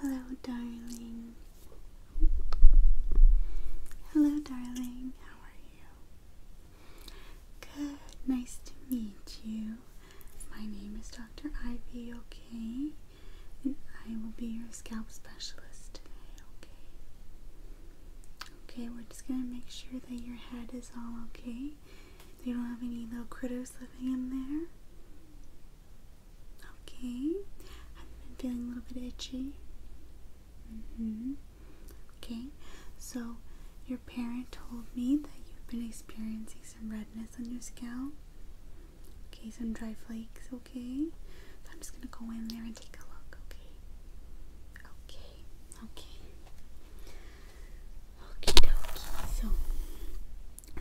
Hello, darling. Hello, darling. How are you? Good. Nice to meet you. My name is Dr. Ivy, okay? And I will be your scalp specialist today, okay? Okay, we're just gonna make sure that your head is all okay. You don't have any little critters living in there. Okay, I've been feeling a little bit itchy. Mm-hmm. Okay, so your parent told me that you've been experiencing some redness on your scalp. Okay, some dry flakes okay? So I'm just gonna go in there and take a look, okay? Okay, okay. Okie dokie, so I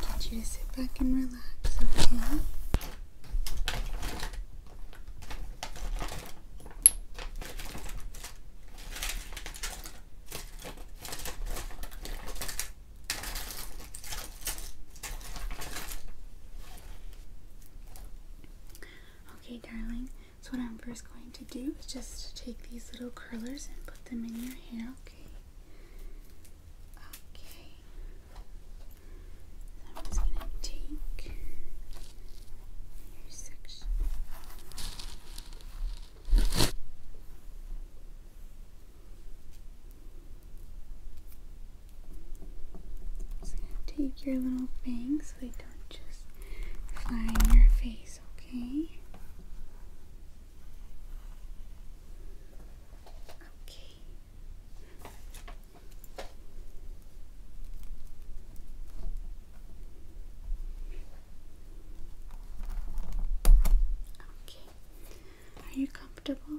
get you to sit back and relax, okay? Okay, Okay, darling. So what I'm first going to do is just take these little curlers and put them in your hair, okay? Okay. I'm just gonna take your section take your little bangs so they don't just fly in your face, okay? Okay. Okay. Are you comfortable?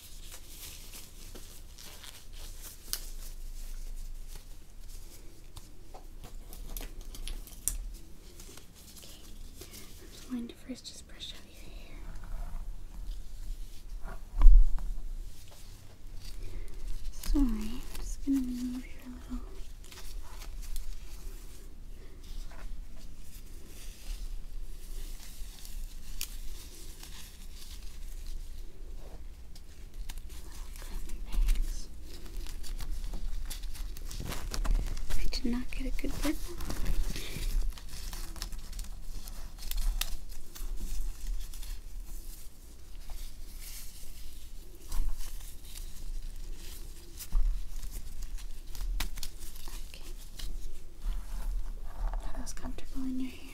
I'm just going to first just brush out your hair. Sorry, I'm just gonna move your little. I did not get a good grip Okay. Are those comfortable in your hair?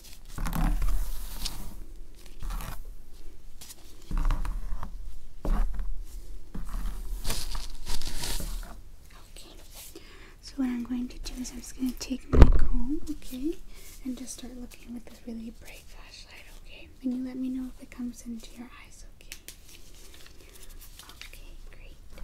Okay, so what I'm going to do is I'm just going to take my comb, okay, and just start looking with this really bright flashlight, okay? Can you let me know if it comes into your eyes, okay? Okay, great.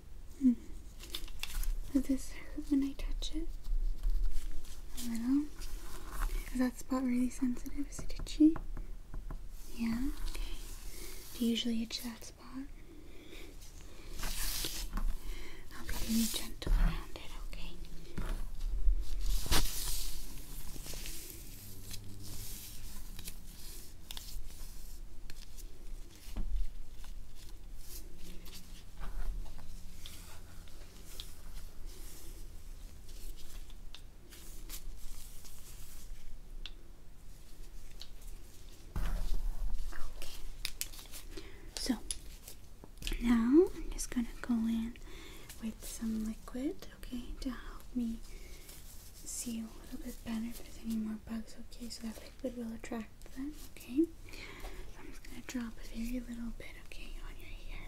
Hmm. Does this hurt when I touch it? A little. Is that spot really sensitive? Is it itchy? Yeah? Do you usually itch that spot? Okay. I'll be really gentle around it, okay? So now I'm just gonna go in with some liquid, okay, to help me see a little bit better if there's any more bugs, okay? So that's liquid will attract them, okay? I'm just going to drop a very little bit, okay, on your hair.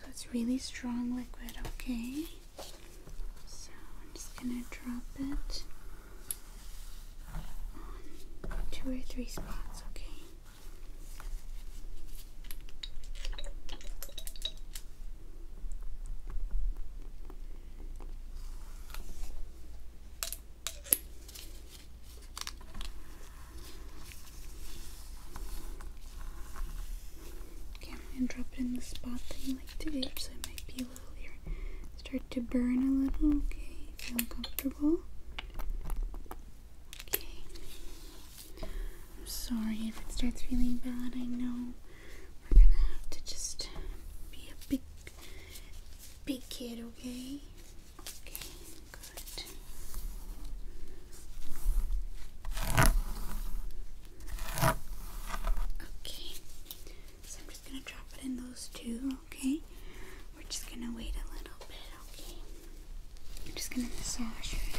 So it's really strong liquid, okay? So I'm just gonna drop it on two or three spots, okay? Okay, Okay, I'm gonna drop it in the spot that you like to do, so it might be a little here. Start to burn a little, okay? Feel comfortable. Okay. I'm sorry if it starts feeling bad, I know. We're gonna have to just be a big, big kid, okay? Okay, good. Okay, so I'm just gonna drop it in those two, okay? We're just gonna wait a little bit, okay? I'm just gonna massage your head.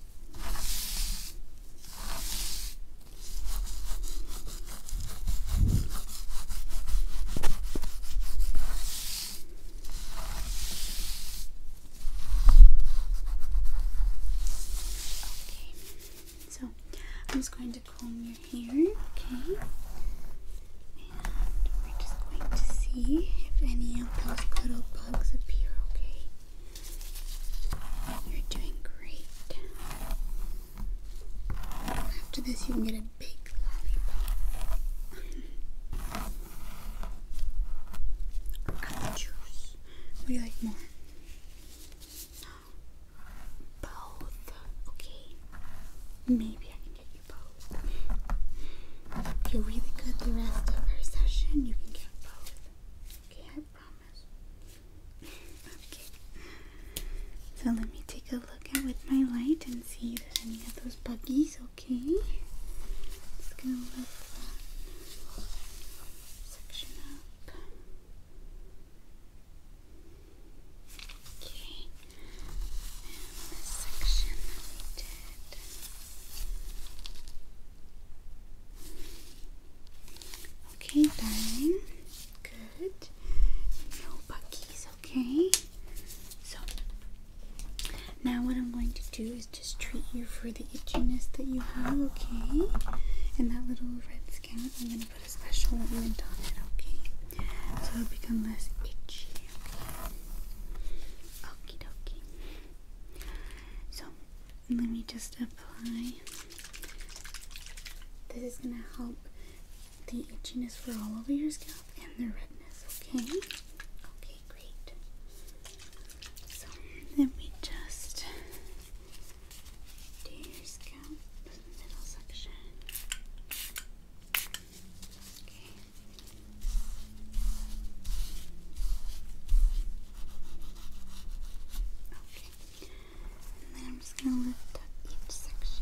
so I'm just going to comb your hair, okay? And we're just going to see if any of those little bugs appear, okay? You're doing great. After this, you can get a big lollipop. juice. What do you like more? Both. Okay. Maybe I can get you both. If you're really good the rest of our session, you can get both. Okay, I promise. okay. So let me take a look at with my light and see if there's any of those buggies, okay? Just gonna look that section up. Okay. And this section that we did. Okay, darling. Good. No buckies, okay? So, now what I'm going to do is just treat you for the itchiness that you have, okay? And that little red skin, I'm going to put a special ointment on it, okay? So it'll become less itchy, okay? Okie dokie. So let me just apply. This is gonna help the itchiness for all over your scalp and the redness, okay? Okay, great. So let me just do your scalp middle section. Okay. Okay. And then I'm just going to lift up each section.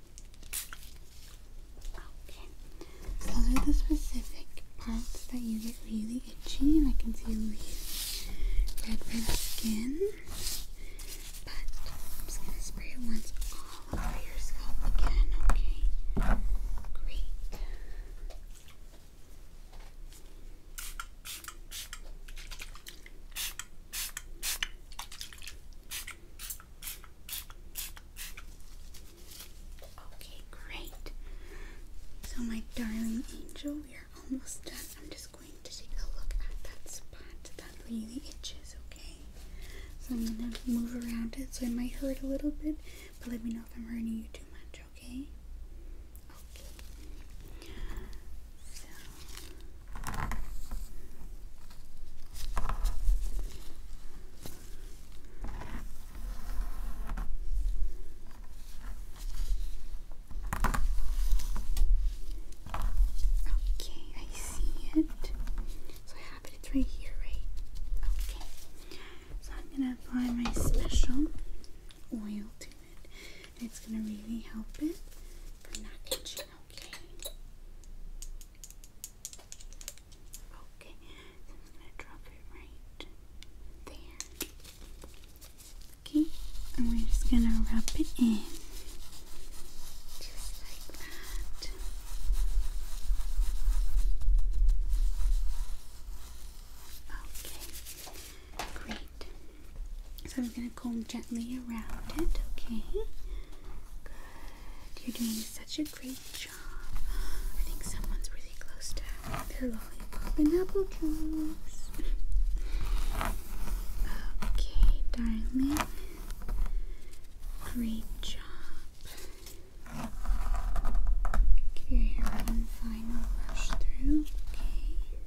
Okay, so those are the specific parts that you get really itchy, and I can see really red, red skin. But I'm just gonna spray it once all over your scalp again, okay? Great. Okay, great. So, my darling angel, we are almost done. I'm just going to take a look at that spot that really itches, okay? So, I'm gonna move around it so it might hurt a little bit, but let me know if I'm hurting you too much, okay? Okay. Okay, I see it. So I have it right here, right? Okay. So I'm gonna apply my special oil to it. It's gonna really help it Okay. Okay. I'm gonna drop it right there. Okay, and we're just gonna wrap it in. Just like that. Okay. Great. So I'm going to comb gently around it, okay? Good. You're doing such a great job. I think someone's really close to their lollipop and apple juice. Okay, darling. Great job. Give your one final rush through, okay?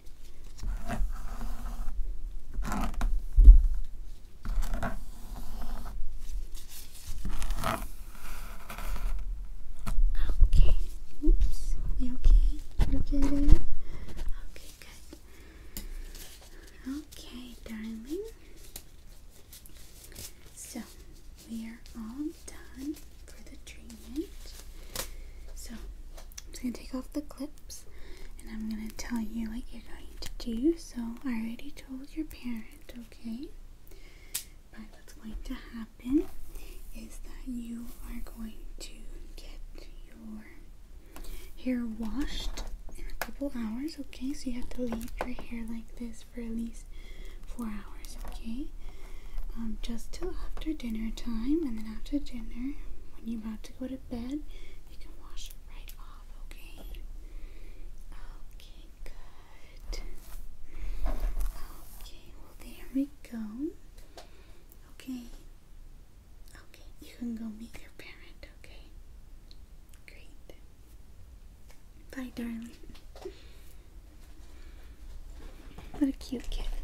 Okay. Oops. You okay? You okay there? Okay, good. Okay, darling. So we are all done for the treatment. So I'm just gonna take off the clip and I'm going to tell you what you're going to do. So I already told your parents, okay? But what's going to happen is that you are going to get your hair washed in a couple hours, okay? So you have to leave your hair like this for at least four hours, okay? Um, just till after dinner time, and then after dinner, when you about to go to bed, you can wash it right off, okay? Okay, good. Okay, well, there we go. Okay. Okay, you can go meet your parent, okay? Great. Bye, darling. What a cute kid.